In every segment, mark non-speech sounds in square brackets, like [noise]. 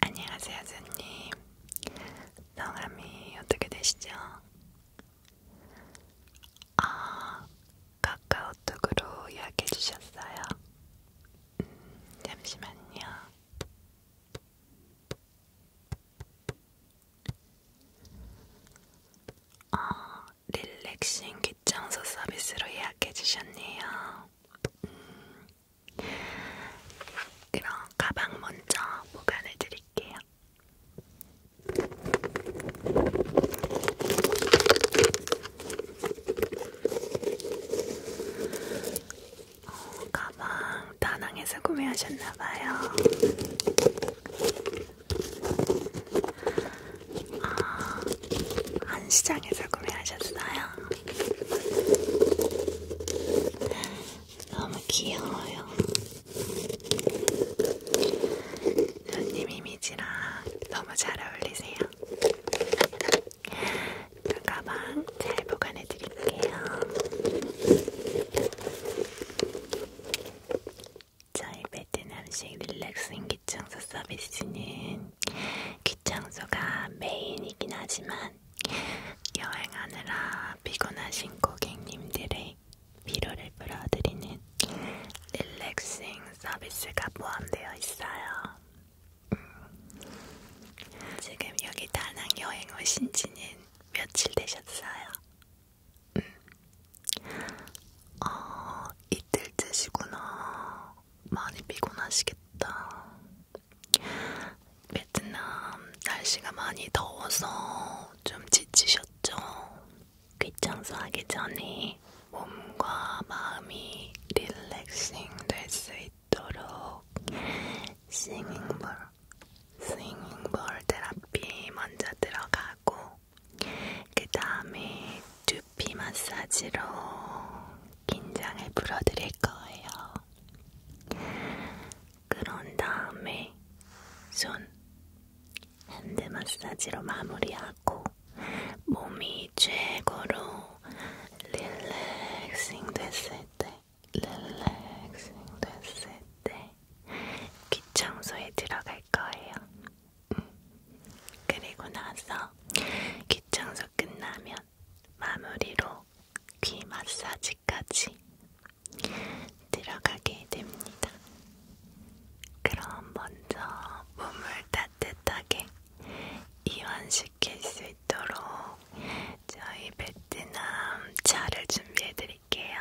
안녕하세요, 선님. 성함이 어떻게 되시죠? 아, 카카오톡으로 이야기해 주셨어요. 음, 잠시만요. 어, 릴렉싱 귀청소 서비스로 예약해 주셨네요. 음, 그럼 가방 먼저 보관해 드릴게요. 어, 가방 다낭에서 구매하셨나봐요. 아, 한시장에서 구매하셨어요. 너무 귀여워요. 손님 이미지랑 너무 잘 어울리세요. 그 가방 잘 보관해 드릴게요. 저희 베트남식 릴렉싱 귀청소 서비스는 귀청소가 메인이긴 하지만 여행하느라 피곤하신 고객님들의 위로를 불어드리는 릴렉싱 서비스가 포함되어 있어요. 음, 지금 여기 다낭 여행 오신 지는 며칠 되셨어요? 음. 어, 이틀 드시구나. 많이 피곤하시겠다. 베트남 날씨가 많이 더워서 좀 지치셨죠? 귀청소 하기 전에 몸과 마음이 릴렉싱 될 수 있도록 싱잉볼, 싱잉볼 테라피 먼저 들어가고 그 다음에 두피 마사지로 긴장을 풀어드릴 거예요. 그런 다음에 손 핸드 마사지로 마무리하고 몸이 최고로 릴렉싱 됐을 때 릴렉싱 됐을 때 귀청소에 들어갈 거예요. 음. 그리고 나서 귀청소 끝나면 마무리로 귀 마사지까지 들어가게 됩니다. 그럼 먼저 몸을 따뜻하게 이완시킬 수 있도록 저희 베트남 차를 준비해 드릴게요.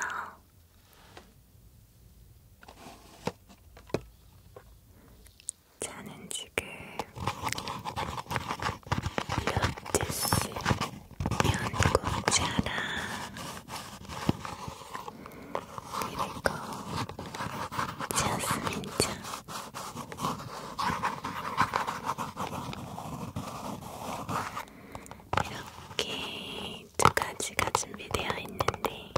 차는 지금 며칠씩 연구자라 그리고 자스민차 이렇게 두 가지가 준비되어 있는데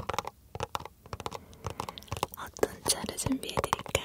어떤 차를 준비해드릴까요?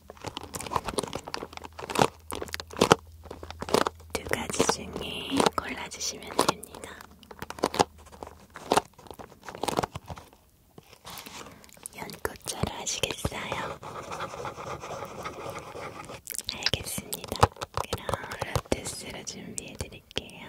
두 가지 중에 골라주시면 됩니다. 연꽃차를 하시겠어요? 알겠습니다. 그럼 라떼스로 준비해드릴게요.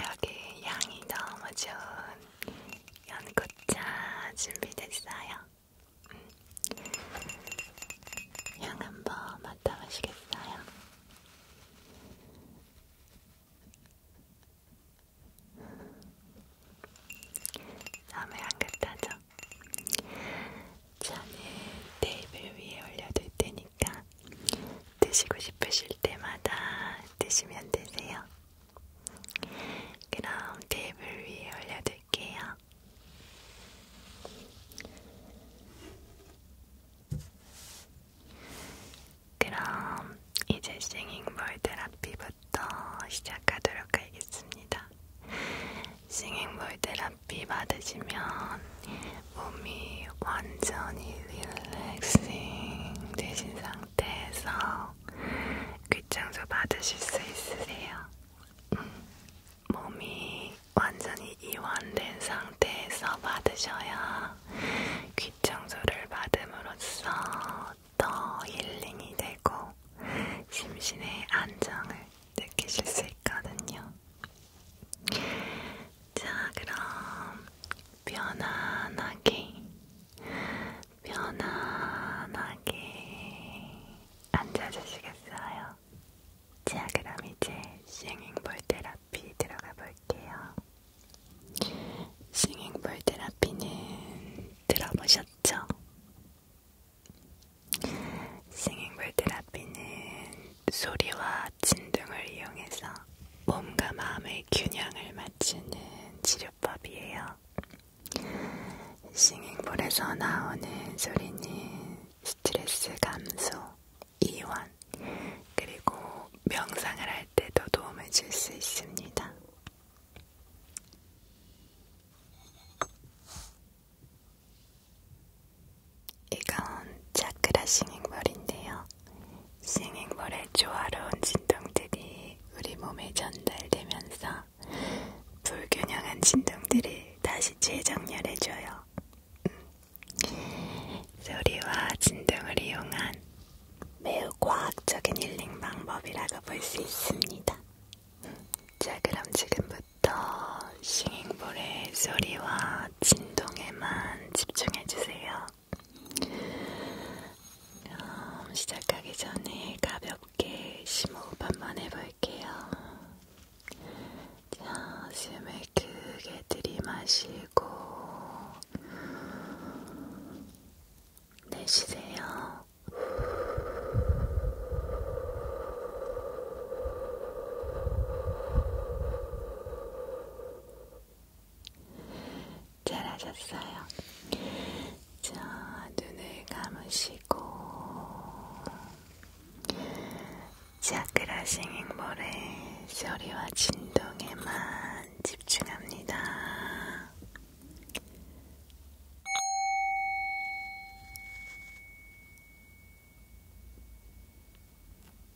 여기 향이 너무 좋은 연고차 준비됐어요. 음. 향 한번 맡아보시겠어요? 음. 너무 향긋하죠? 저는 테이블 위에 올려둘 테니까 드시고 싶으실 때마다 드시면 되세요. 그럼 테이블 위에 올려둘게요. 그럼 이제 싱잉볼 테라피부터 시작하도록 하겠습니다. 싱잉볼 테라피 커피 받으시면 몸이 완전히 릴렉싱 되신 상태에서 귀청소 받으실 수 있으세요. 음, 몸이 완전히 이완된 상태에서 받으셔야 귀청소를 받음으로써 더 힐링이 되고 심신의 안정을 느끼실 수 있거든요. 자, 그럼 편안하게, 편안하게 앉아주시겠어요? 자, 그럼 이제 싱잉볼 테라피 들어가 볼게요. 싱잉볼 테라피는 들어보셨죠? 싱잉볼 테라피는 소리와 마친 등을 이용해서 몸과 마음의 균형을 맞추는 치료법이에요. 싱잉볼에서 나오는 소리는 스트레스 감소, 이완, 그리고 명상을 할 때도 도움을 줄 수 있습니다. 이건 차크라 싱잉볼인데요. 싱잉볼의 조화로운 진동들이 우리 몸에 전달되면서 불균형한 진동들이 다시 재정렬해줘요. 음. 소리와 진동을 이용한 매우 과학적인 힐링 방법이라고 볼 수 있습니다. 음. 자, 그럼 지금부터 싱잉볼의 소리와 진동에만 집중해주세요. 그럼 시작하기 전에 가볍게 심호흡 한번 해볼게요. 자, 숨을 크게 들이마시고 내쉬세요. 잘하셨어요. 자, 눈을 감으시고 자크라 싱잉볼의 소리와 진동에만 집중합니다.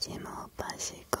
ジムをパシコ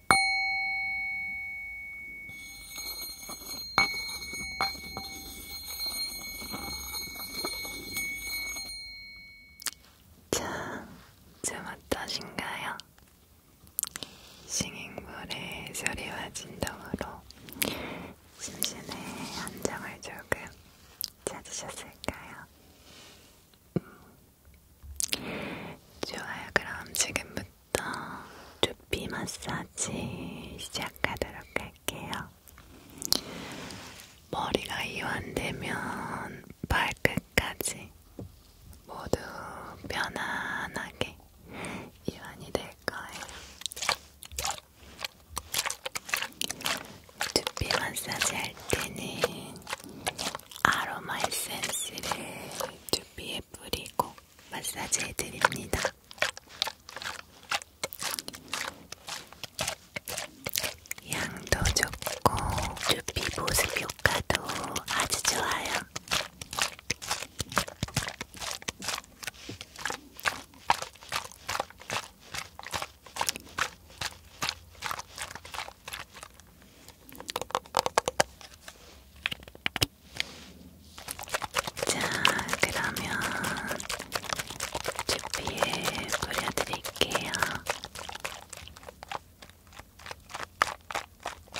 자, 좀 어떠신가요? 싱잉볼의 소리와 진동으로 심신의 안정을 조금 찾으셨을까요? 음. 좋아요. 그럼 지금부터 지금부터 두피 마사지 시작하도록 할게요. 머리가 이완되면 발끝까지 모두 편안하게 이완이 될 거예요. 두피 마사지 할 때는 아로마 에센스를 두피에 뿌리고 마사지 해드립니다. 양도 좋고 두피 보습 효과도 아주 좋아요. 자, 그러면 주피에 뿌려드릴게요. 자,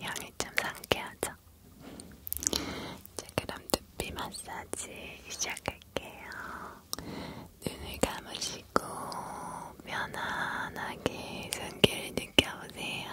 향이 좀 상쾌하죠? 이제 그럼 두피 마사지 시작할게요. 눈을 감으시고 편안하게 숨길 느껴보세요.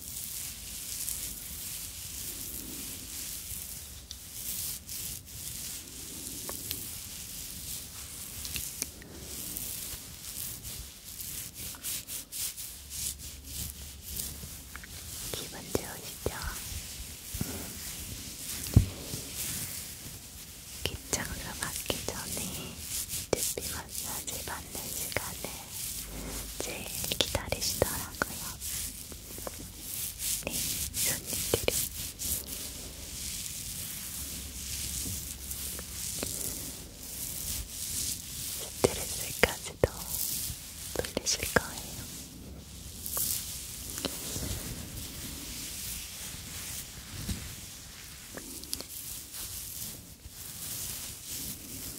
기분 좋으시죠? 기차가 막기 전에 두피 마사지 받는 시간을 제일 기다리시더라고요. 네, 손님들이 스트레스까지도 풀리실 거예요.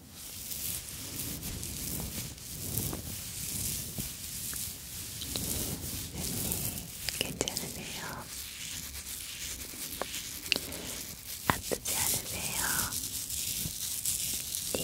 언니 괜찮으세요? 아프지 않으세요? 네. 네,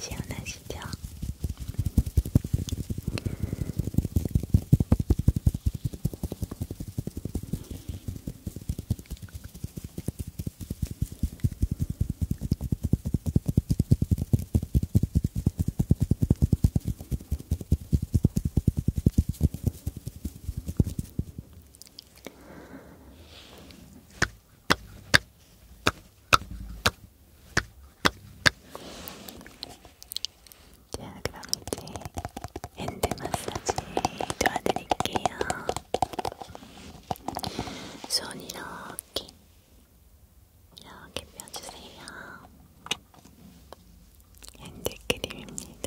시원하시죠? 자, 그럼 이제 핸드 마사지 도와드릴게요. 손 이렇게, 이렇게 펴주세요. 핸드크림입니다.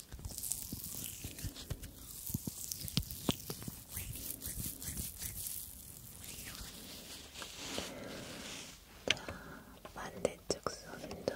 자, 반대쪽 손도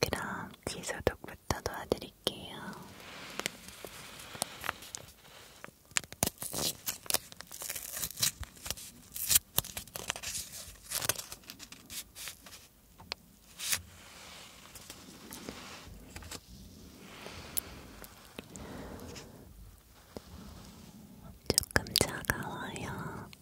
그럼 귀 소독부터 도와드릴게요. 조금 차가워요.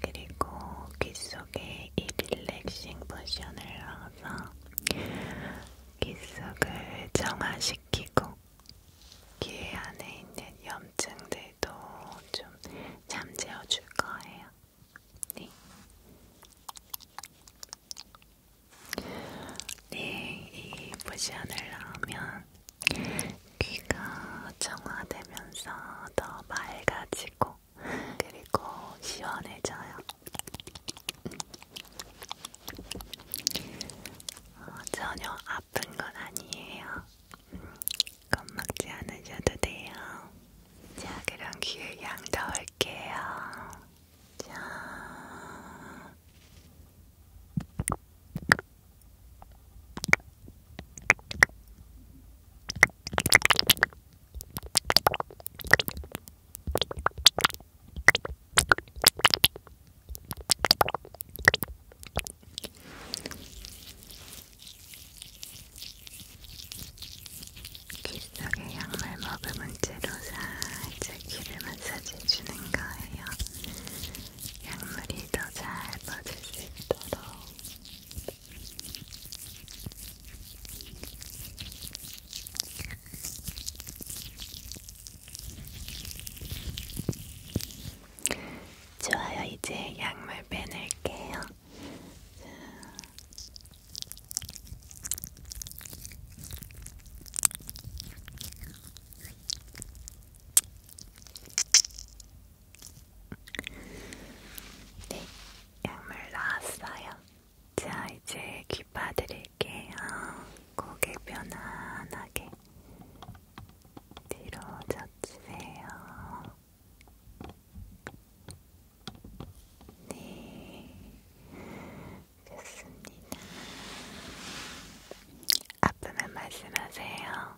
그리고 귀 속에 이 릴렉싱 포션을 넣어서 귀 속을 정화시키고 귀 안에 있는 염증들도 좀 잠재워 줄 거예요. 네. 네, 이 포션을 넣으면 귀가 정화되면서 더 맑아지고 그리고 시원해져요. 어, 전혀 아픈 건 아니에요. 음, 겁먹지 않으셔도 돼요. 자, 그럼 귀에 양 넣을게요. 자. 빗속의 약물 머금은 채로 살짝 귀를 마사지해주는 거예요. 양물이 더잘 퍼질 수 있도록 좋아요, 이제 약물 빼낼게요. 자. 네, 약물 나왔어요. 자, 이제 귀 빠드릴게요. 고개 편안하게 뒤로 젖히세요. 네, 좋습니다. 아프면 말씀하세요.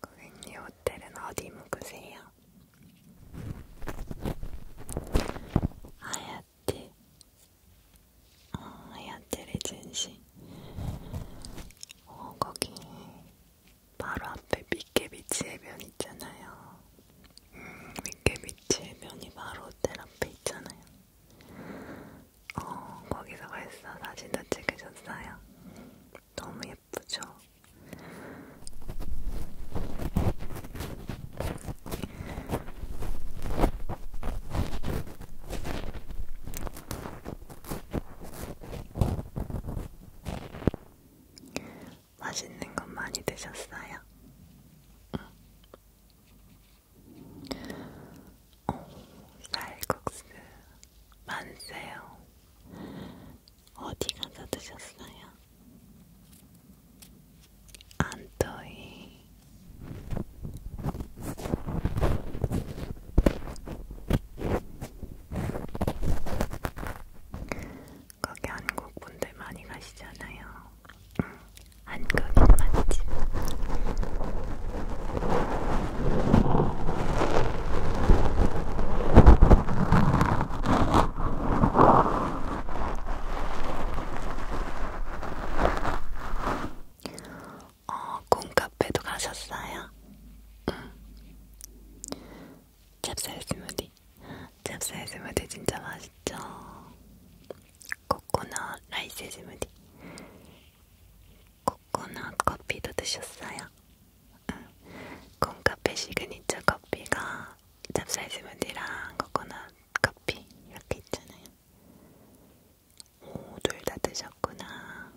고객님 호텔은 어디 묵으세요? 아야티 어, 아야티 레젠시 어, 거기 바로 앞에 미케비치 해변 있잖아요 음, 밑에 밑에 면이 바로 호텔 앞에 있잖아요. 어, 거기서 벌써 사진도 찍으셨어요. 너무 예쁘죠? 맛있는 건 많이 드셨어요? 응. 어, 쌀국수 만세요. 어디 가서 드셨어요? 안토이. 거기 한국 분들 많이 가시잖아요. 응, 한국인 맛집. 어, 콩카페도 가셨어요? 응. 음. 찹쌀 스무디 잽쌀 스무디 진짜 맛있죠? 코코넛 라이스 스무디 코코넛 커피도 드셨어요? 응. 콩카페 시그니처 커피가 찹쌀 스무디랑 코코넛 커피 이렇게 있잖아요. 오, 둘 다 드셨구나.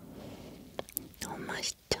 너무 맛있죠?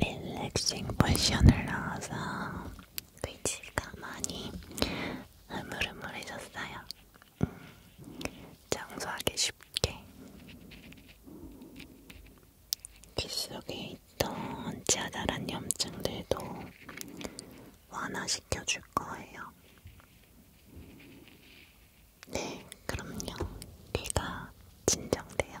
릴렉싱 포션을 넣어서 귀지가 많이 흐물흐물해졌어요. 음, 청소하기 쉽게 귀 속에 있던 치아다란 염증들도 완화시켜줄 거예요. 네, 그럼요. 귀가 진정돼요.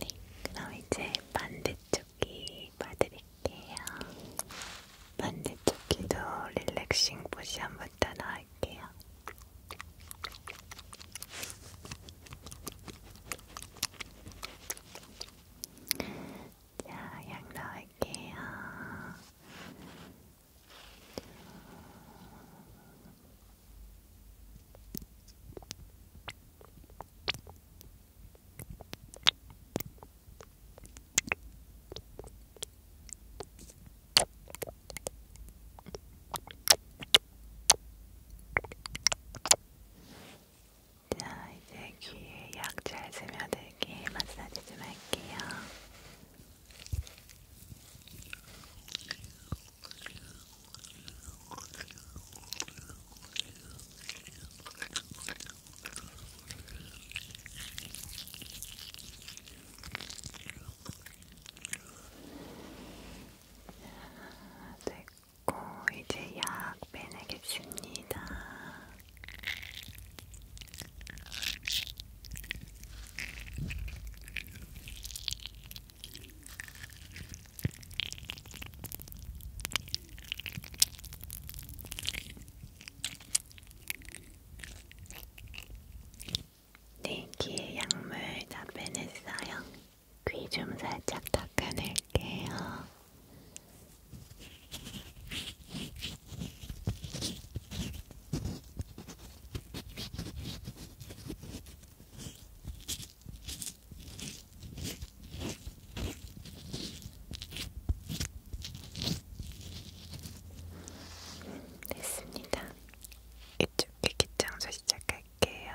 네, 그럼 이제 반대쪽 반대쪽이 봐드릴게요. 반대쪽 귀도 릴렉싱 포션부터 넣을게요. 자, 약 넣을게요. 자, 자, 이제 귀에 약 잘 스며들게 마사지 좀 할게요. 됐고, 이제 약 빼내겠습니다. 네, 귀에 약물 다 빼냈어요. 귀 좀 살짝 닦아낼게요. 됐습니다. 이쪽 귀기 청소 시작할게요.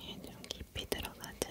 얘좀 깊이 들어가죠.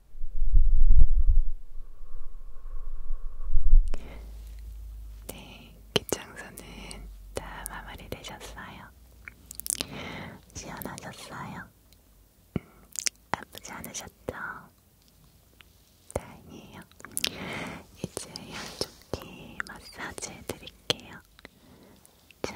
네, 기청소는 다 마무리되셨어요. 시원하셨어요? 음, 아프지 않으셨죠? 다행이에요. 이제 양쪽기 마사지 해드릴게요. 자,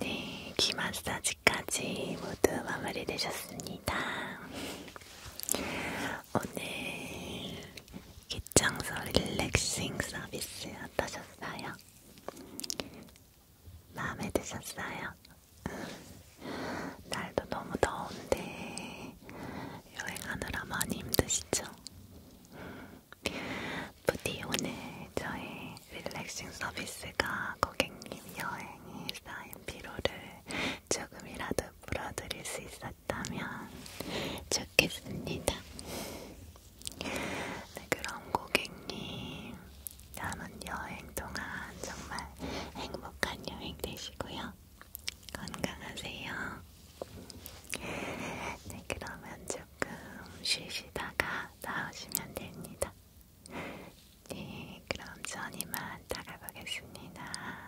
네, 귀 마사지까지 모두 마무리되셨습니다. [laughs] 오늘 기창소 릴렉싱 서비스 어떠셨어요? 마음에 드셨어요? 날도 너무 더운데 여행하느라 많이 힘드시죠? 부디 오늘 저희 릴렉싱 서비스가 고객님 여행이 쌓인 피로를 조금이라도 풀어드릴 수 있었죠? 보셨다면 좋겠습니다. 네, 그럼 고객님, 남은 여행 동안 정말 행복한 여행 되시고요. 건강하세요. 네, 그러면 조금 쉬시다가 나오시면 됩니다. 네, 그럼 전 이만 나가보겠습니다.